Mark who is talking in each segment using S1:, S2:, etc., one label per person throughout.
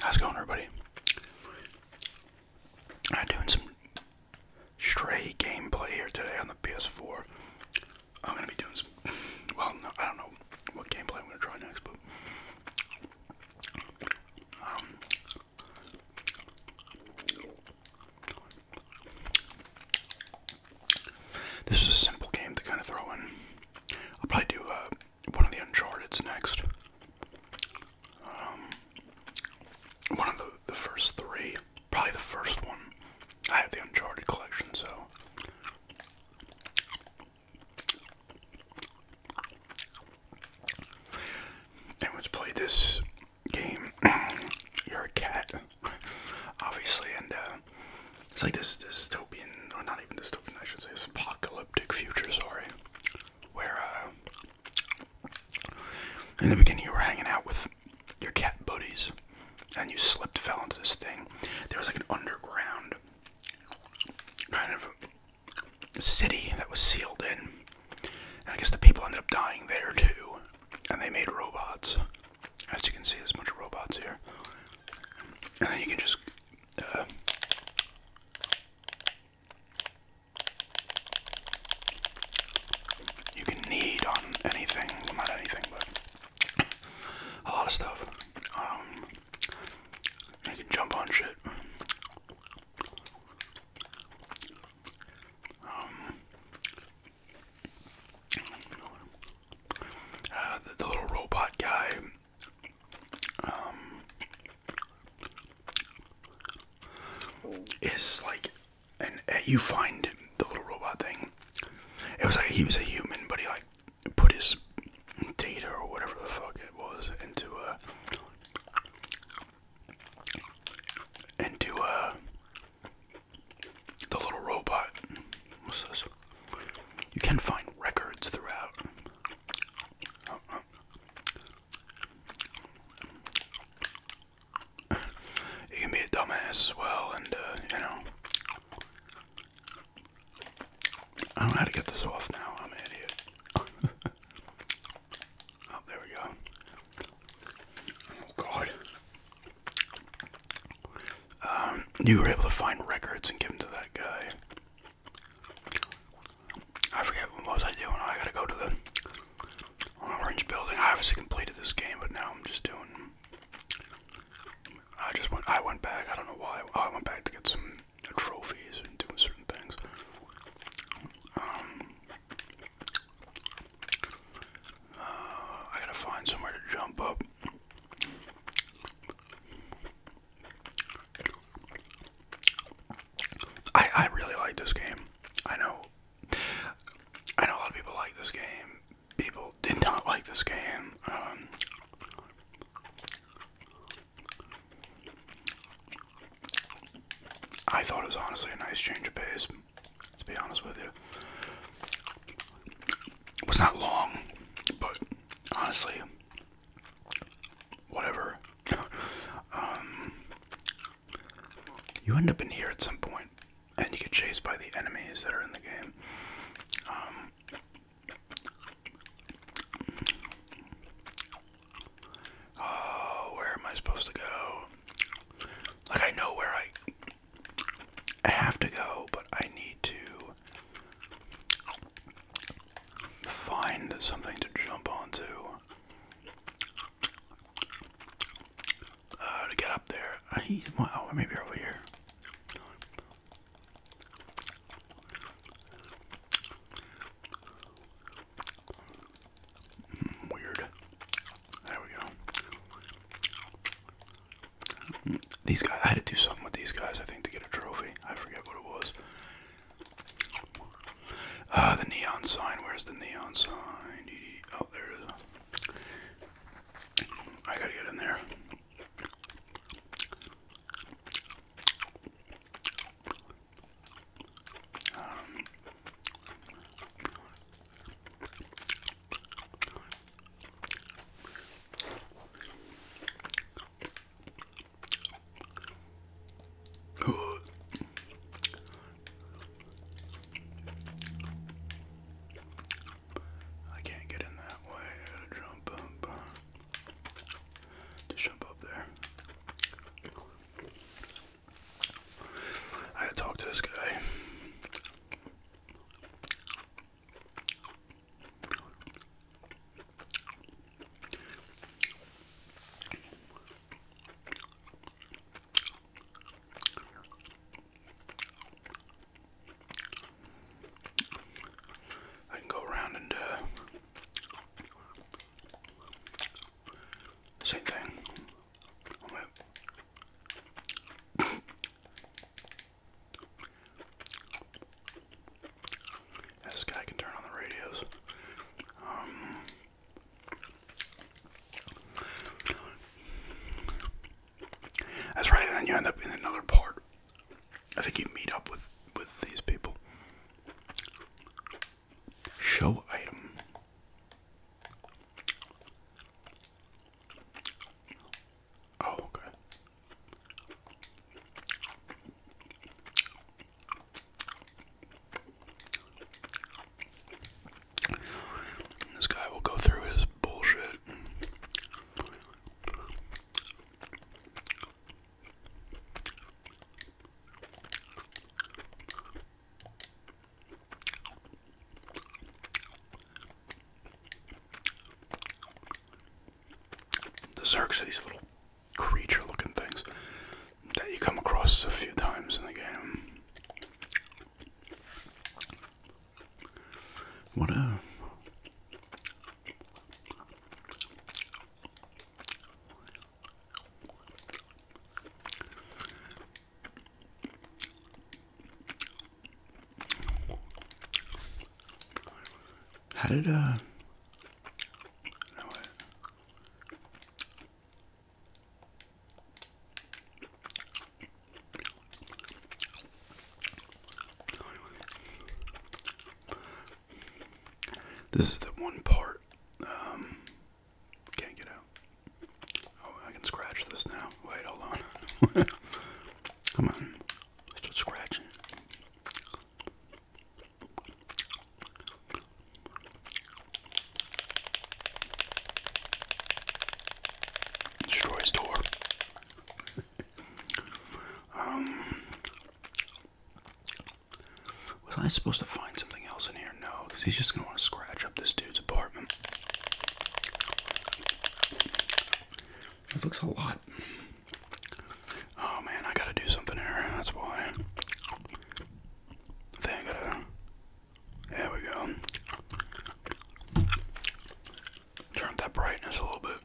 S1: How's it going, everybody? I'm doing some stray gameplay here today on the PS4. I'm gonna be doing some. Well, no, I don't know what gameplay I'm gonna try next, but um, this is a simple game to kind of throw in. I'll probably do uh, one of the Uncharted's next. Um, one of the, the first three. Probably the first one. I have the Uncharted collection, so. let's play this game. You're a cat. obviously, and uh, it's like this dystopian, or not even dystopian, I should say, this apocalyptic future, sorry, where uh, in the beginning you were hanging out with your cat buddies, and you slipped, fell into this thing. There was like an underground kind of city that was sealed in, and I guess the people ended up dying there too, and they made robots. As you can see, there's a bunch of robots here. you can just. Uh, you can knead on anything. not anything, but a lot of stuff. Um, you can jump on shit. Um, uh, the, little robot guy. Um, is like, and uh, you find the little robot thing. It was like he was a human, but he like put his data or whatever the fuck it was into a into a the little robot. What's this? You can find records throughout. you can be a dumbass as well, and uh, you know. I don't know how to get this off now. I'm an idiot. oh, there we go. Oh, God. Um, you were able to find records and give them to that guy. I forget what was I doing. I gotta go to the orange building. I obviously completed this game, but now I'm just doing. I just went. I went back. I don't know why. Oh, I went back to get some trophies and doing certain things. Um, uh, I gotta find somewhere to jump up. I I really like this game. I know I know a lot of people like this game. People did not like this game. Um, I thought it was honestly a nice change of pace to be honest with you. It was not long, but honestly, whatever. Um, you end up in here at some point, and you get chased by the enemies that are in the game. Um, Oh, where am I supposed to go? Like I know where I I have to go, but I need to find something to jump onto uh, to get up there. I, maybe over here. Hmm, weird. There we go. These guys, I had to do something with these guys, I think, to get a trophy. I forget what it was. Uh, the neon sign. Where's the neon sign? Oh, there it is. I gotta get in there. Um, I can't get in that way. I gotta jump up. Just jump up there. I gotta talk to this guy. I can go around and uh, same thing this guy can turn on the radios. Um, that's right, and then you end up in another part. I think you meet up with with these people. Show item. Oh, okay. This guy will go through his bullshit. The Zergs are these little creature looking things that you come across a few times in the game. What a. Uh, how did uh? This is the one part um, can't get out. Oh, I can scratch this now. Wait, hold on. Come on. Let's just scratching. Destroy his door. Um, was I supposed to find something else in here? No, because he's just gonna want to scratch up this dude's apartment. It looks a lot. Oh man, I gotta do something here. That's why. I think I gotta. There we go. Turn that brightness a little bit.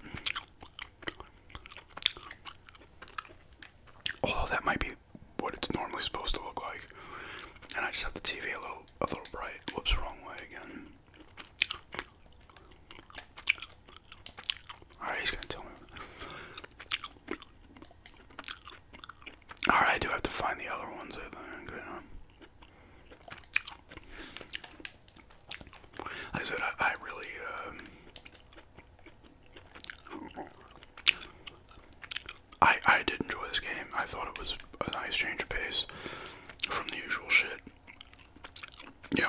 S1: Oh, that might be what it's normally supposed to look like. And I just have the TV a little a little bright. Whoops, wrong way again. Alright, he's gonna tell me. Alright, I do have to find the other ones, I think. I said, I, really, uh, I, I did enjoy this game. I thought it was a nice change of pace from the usual shit. You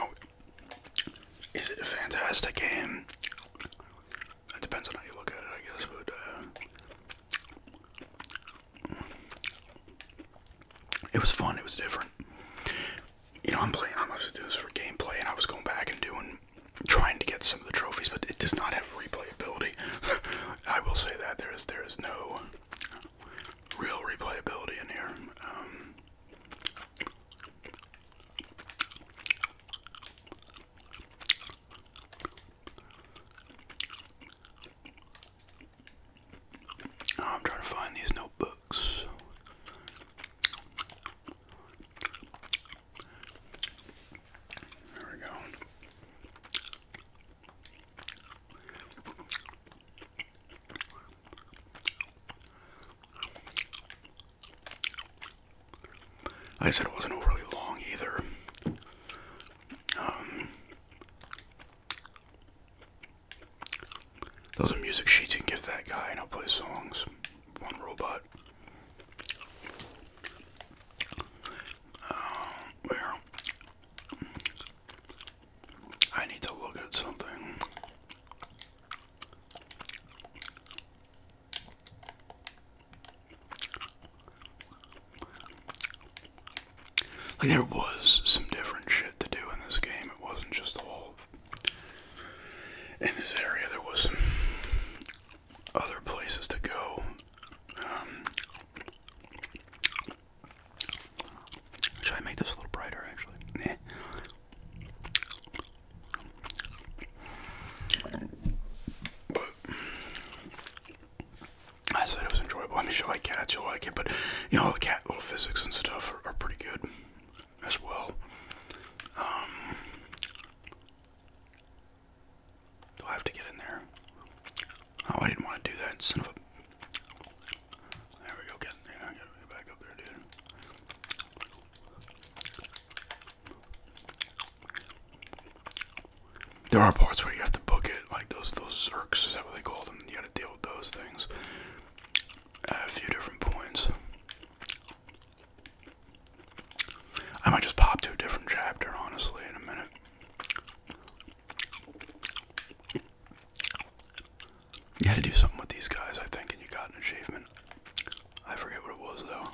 S1: is it a fantastic game? It depends on how you look at it, I guess, but uh, it was fun. It was different. You know, I'm playing. I'm supposed to do this for gameplay, and I was going back and doing, trying to get some of the trophies, but it does not have replayability. I will say that there is there is no real replayability in here. Um, oh, I'm trying to find these notebooks. There we go. I said it wasn't overly long either. Um, those are music sheets you can give that guy, and I'll play songs. One robot. where? Um, I need to look at something. Like, there was some different shit to do in this game. It wasn't just a all. In this area, there was some other places to go. Um, should I make this a little brighter actually? Yeah. But I said it was enjoyable. I mean, you like cats, you'll like it, but you know, the cat little physics and stuff are, pretty good as well. Um, I have to get in there? Oh, I didn't want to do that, there we go, getting there. Gotta get back up there, dude. There are parts where you have to book it, like those those zerks, is that what they call them? You gotta deal with those things a few different points. I might just pop to a different chapter, honestly, in a minute. You had to do something with these guys, I think, and you got an achievement. I forget what it was, though.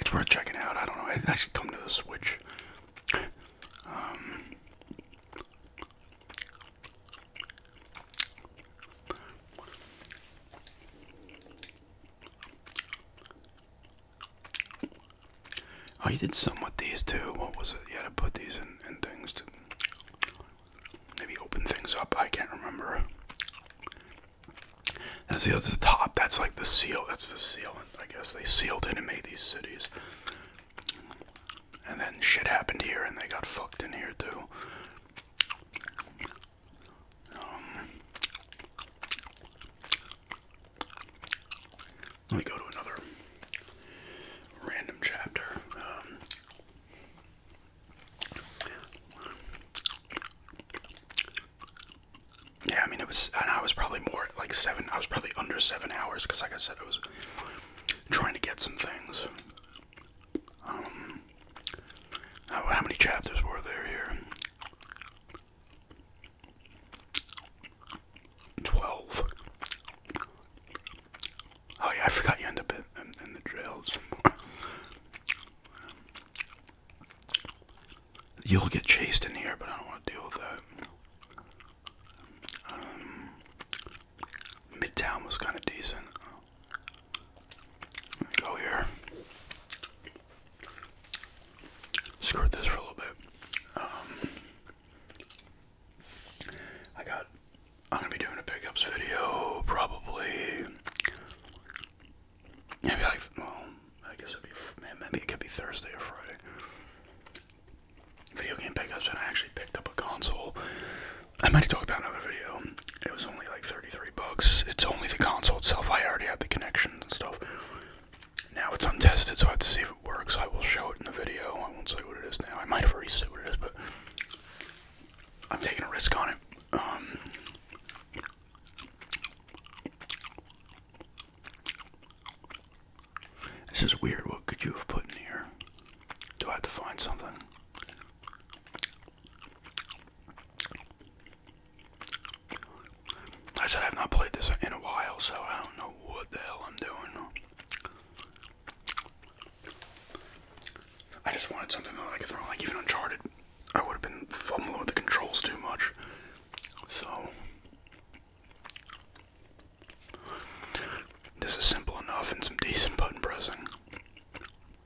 S1: It's worth checking out. I don't know. I should come to the Switch. Um, Oh, you did some with these too. What was it? You had to put these in, in things to maybe open things up. I can't remember. That's the, that's the top. That's like the seal. That's the sealant. I guess they sealed in and made these cities. And then shit happened here and they got fucked in here too let me go to another random chapter. Um, yeah, I mean, it was, and I was probably more like seven, I was probably under seven hours because, like I said, I was trying to get some things. Um, how, many chapters were there here? 12. Oh, yeah, I forgot you end up in, the jail You'll get chased in here, but I don't want to deal with that. Um, Midtown was kind of decent. Go here. Skirt this for a little bit. Um, I got. I'm gonna be doing a pickups video probably. Maybe like well, I guess it'd be maybe it could be Thursday or Friday. Video game pickups, and I actually picked up a console I might talk about another video. It was only like 33 bucks. It's only the console itself. I already have the connections and stuff. Now it's untested, so I have to see if it works. I will show it in the video. I won't say what it is now. I might have already said what it is, but I'm taking a risk on it. Um, this is weird. What could you have put in here? Do I have to find something? I said I've not played this in a while, so I don't know what the hell I'm doing. I just wanted something that I could throw, like even Uncharted. I would have been fumbling with the controls too much. So. This is simple enough and some decent button pressing.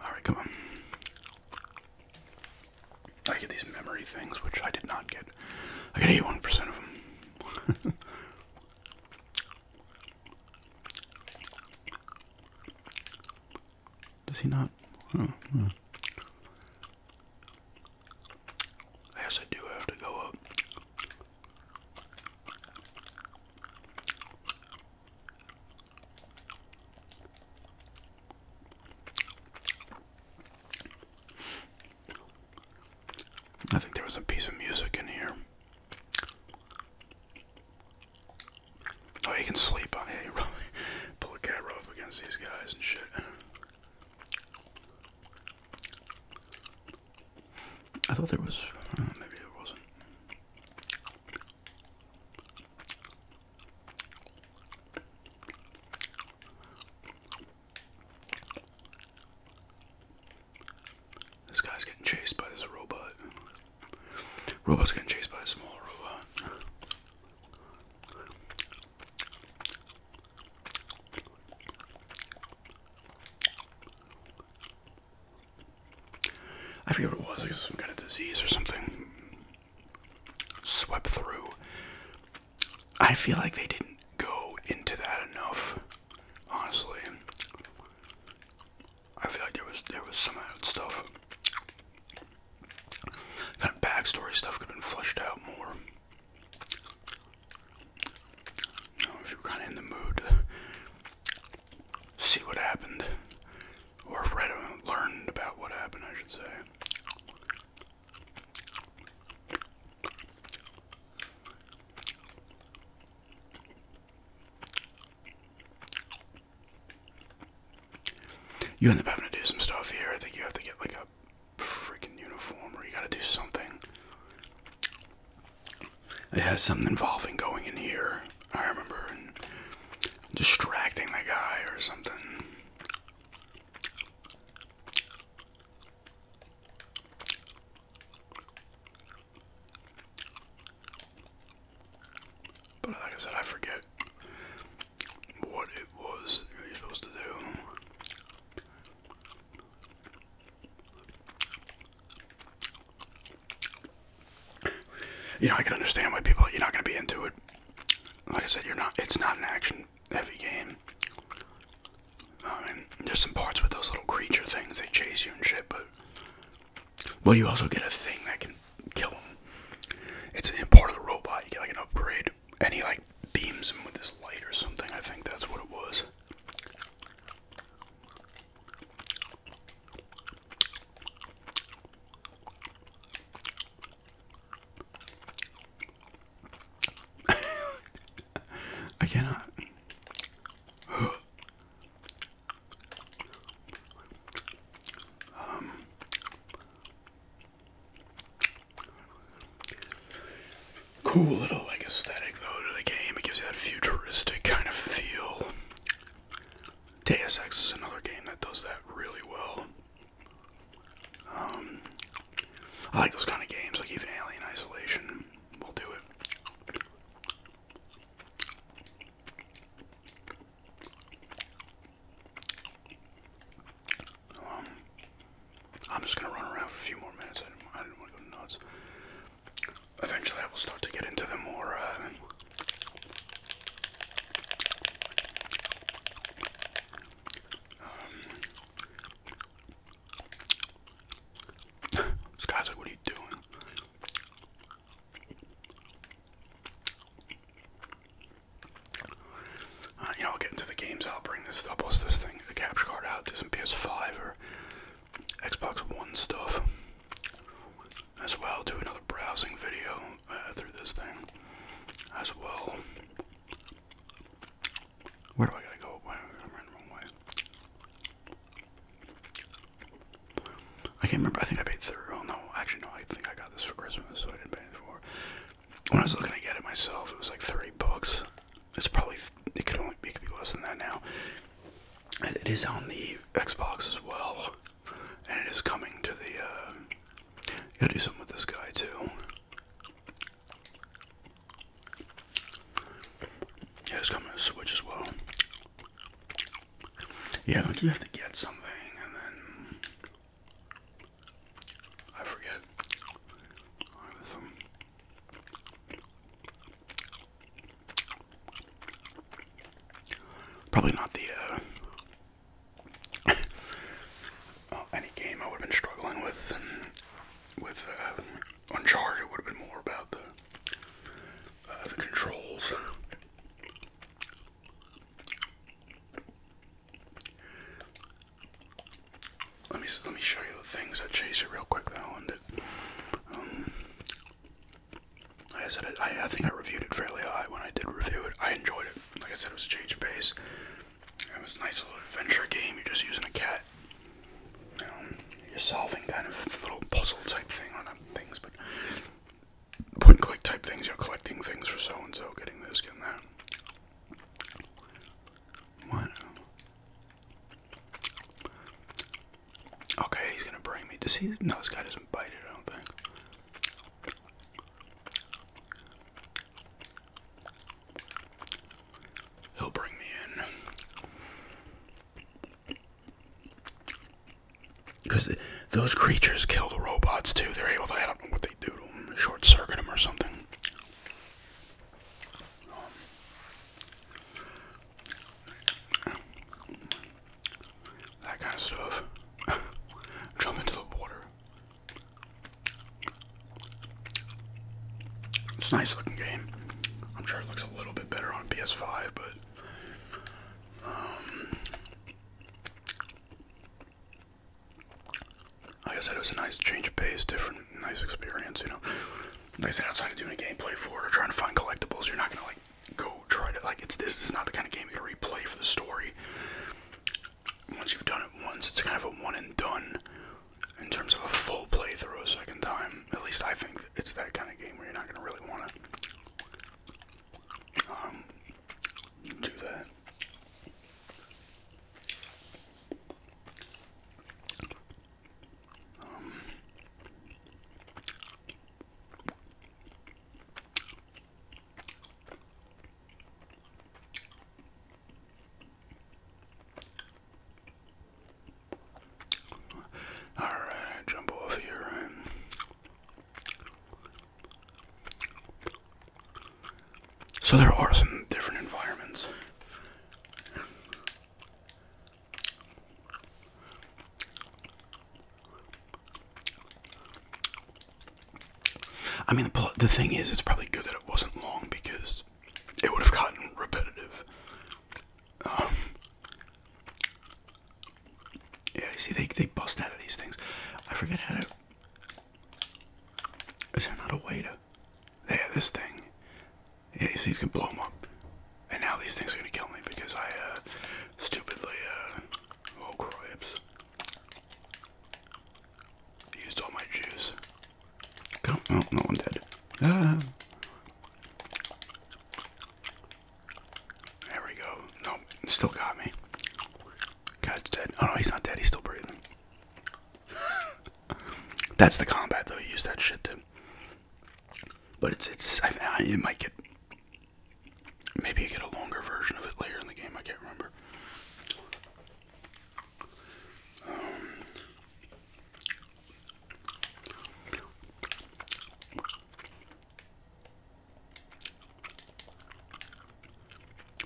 S1: Alright, come on. I get these memory things, which I did not get. I get 81% of them. Does he not? Oh, hmm. I do have to go up. I think there was a piece of music in here. Oh, you can sleep on it. Yeah, pull a cat rope against these guys and shit. I thought there was. maybe there wasn't. This guy's getting chased by this robot. Robot's getting chased by a small robot. I forget what it was, like some kind of disease or something swept through. I feel like they didn't go into that enough, honestly. I feel like there was there was some of that stuff. Kind of backstory stuff could have been fleshed out more. You know, if you're kind of in the mood see what happened, or read and learned about what happened, I should say. You end up having to do some stuff here. I think you have to get like a freaking uniform or you gotta do something it has something involving going in here. I remember distracting the guy or something. But like I said, I forget what it was you're supposed to do you know, I can understand why people you're not going to be into it. Like I said, you're not. It's not an action-heavy game. I mean, there's some parts with those little creature things. They chase you and shit, but well, you also get a thing that can kill them. It's a part of the robot. You get like an upgrade, and he like beams him with this light or something. I think that's what it was. I cannot. Um, cool little like aesthetic though to the game. It gives you that futuristic kind of feel. Deus Ex is another game that does that really well. Um, I like those kind of games, like even Alien Isolation will do it. Um, I'm just gonna run around for a few more minutes. I didn't want to go nuts eventually I will start to get into the more uh, um, this guy's like, what are you doing? Uh, you know, I'll get into the games. I'll bring this. I'll bust this thing, the capture card out, do some PS5 or Xbox One stuff as well. Do another browsing video uh, through this thing as well. Where do I gotta go? I'm running the wrong way. I can't remember. I think I paid thirty. Oh no, actually no. I think I got this for Christmas, so I didn't pay it for. When I was looking to get it myself, it was like thirty bucks. It's probably it could only it could be less than that now. It is on the Xbox as well, and it is coming to the. Uh, gotta do something with this guy too. Yeah, it's coming to Switch as well. Yeah, like you have to get something, and then I forget. Probably not the uh, any game I would have been struggling with. With uh, it would have been more about the uh, the controls. Let me let me show you the things that chase you real quick though, and um, I said, I, think I reviewed it fairly high when I did review it. I enjoyed it. Like I said, it was a change of pace. It was a nice little adventure game. You're just using a cat. Um, you are solving kind of little puzzle type thing, or things, but point click type things. You're collecting things for so and so, getting this, getting that. What? Okay, he's gonna bring me. Does he? No, this guy doesn't bite it, I don't think. He'll bring me in. Because those creatures kill the robots too. They're able to, I don't know what they do to them, short circuit them or something. Um, that kind of stuff. Jump into the water. It's a nice looking game. I'm sure it looks a little bit better on a PS5, but um, like I said, it was a nice change of pace, different, nice experience. You know, like I said, outside of doing a gameplay for it or trying to find collectibles, you're not gonna like go try to like it's this is not the kind of game you're gonna replay for the story. Once you've done it once, it's kind of a one and done in terms of a full playthrough a second time. At least I think it's that kind of game where you're not gonna really wanna um, do that. Um, all right, I jump off here So there are some different environments. I mean, the, thing is, it's probably good that it wasn't long because it would have gotten repetitive. Um, yeah, you see, they, they bust out of these things. I forget how to. Is there not a way to. Yeah, this thing. Yeah, you see, you can blow them up. And now these things are gonna kill me because I uh, stupidly, uh, oh cripes, used all my juice. Come, oh, no, no one dead. Ah. There we go. No, still got me. God's dead. Oh no, he's not dead. He's still breathing. That's the combat though. He used that shit to but it's it's I, it might get maybe you get a longer version of it later in the game. I can't remember. Um,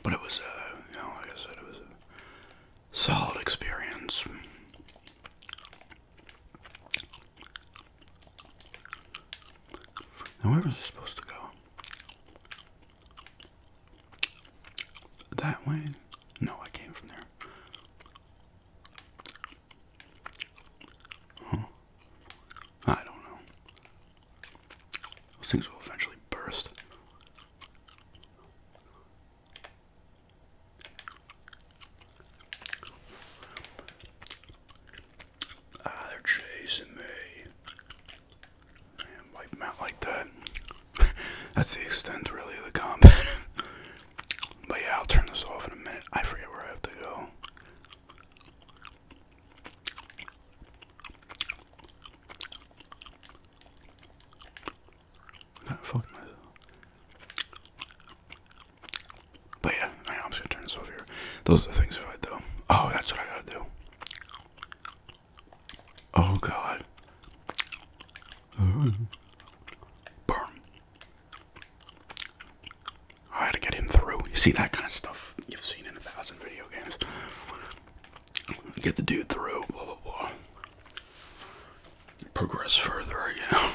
S1: but it was, uh, you know, like I said, it was a solid experience where was it supposed to go? That way? No, I came from there. I don't know. Those things will eventually burst. Ah, they're chasing me. wipe them out like that. That's the extent, really, of the combat. but yeah, I'll turn this off in a minute. I forget where I have to go. I fucked myself. But yeah, I'm just gonna turn this over here. Those are the things I though. Oh, that's what I gotta do. Oh God. Burn. I had to get him through. You see that kind of stuff you've seen in a thousand video games. Get the dude through, Progress further, you know.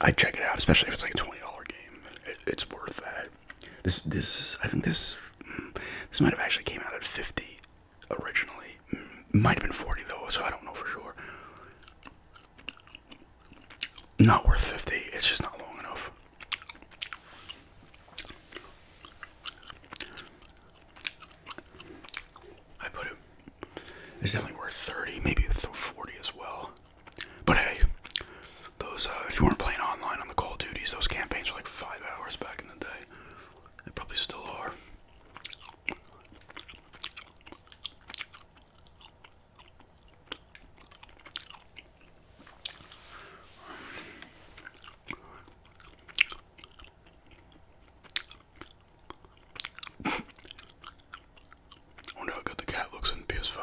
S1: I check it out, especially if it's like a twenty dollar game. it's worth that. This, this, I think this, mm, this might have actually came out at fifty originally. Mm, might have been forty though, so I don't know for sure. Not worth fifty. It's just not long enough. I put it. It's definitely worth 30, maybe 40 as well. But hey, those uh, if you weren't playing online on the Call of Duties, those campaigns were like five hours back in the day. They probably still are wonder oh, how good the cat looks in PS5.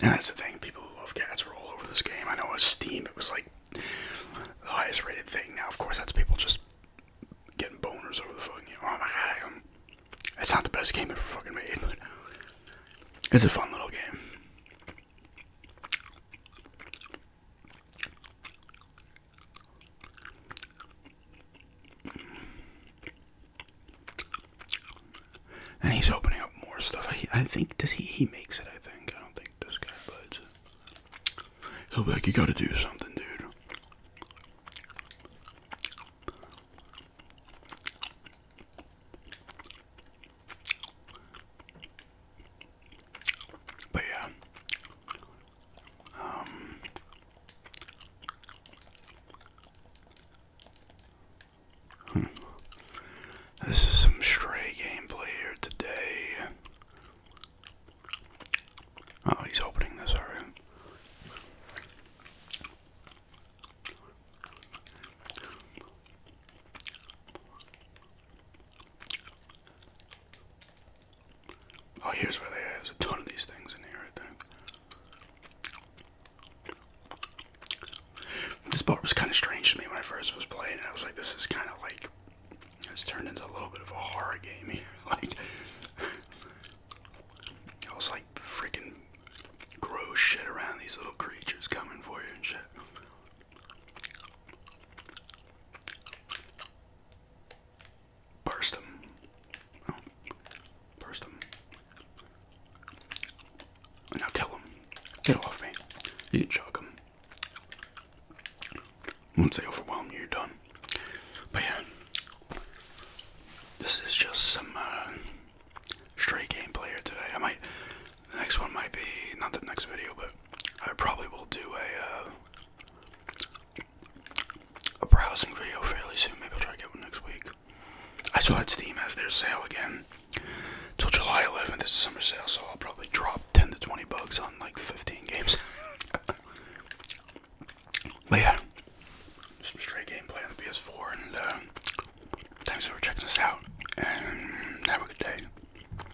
S1: that's the thing, people who love cats are all over this game. I know on Steam it was like the highest rated thing. Now, of course, that's people just getting boners over the fucking game. Oh my god, it's not the best game ever fucking made, but it's a fun little game. And he's opening up more stuff. I, I think does he he makes it. I think I don't think this guy buds. He'll be like, you got to do something, dude. But yeah. Um hmm. This is some stray gameplay here today. Oh, he's opening this already. Oh, here's where they are. There's a ton of these things in here, I think. This part was kind of strange to me when I first was playing it. I was like, this is kind of like. It's turned into a little bit of a horror game here. like. I was like freaking gross shit around these little creatures coming for you and shit. Burst them. Oh, burst them. Now tell them. Get off me. You can choke them. Once they overwhelm you, you're done. But yeah. This is just some uh, straight gameplay here today. I might. The next one might be. Not the next video, but I probably will do a uh, a browsing video fairly soon. Maybe I'll try to get one next week. I saw Steam has their sale again till July 11th. It's a summer sale, so I'll probably drop 10 to 20 bucks on like 15 games. yeah, some straight gameplay on the PS4. And uh, thanks for checking us out. And have a good day.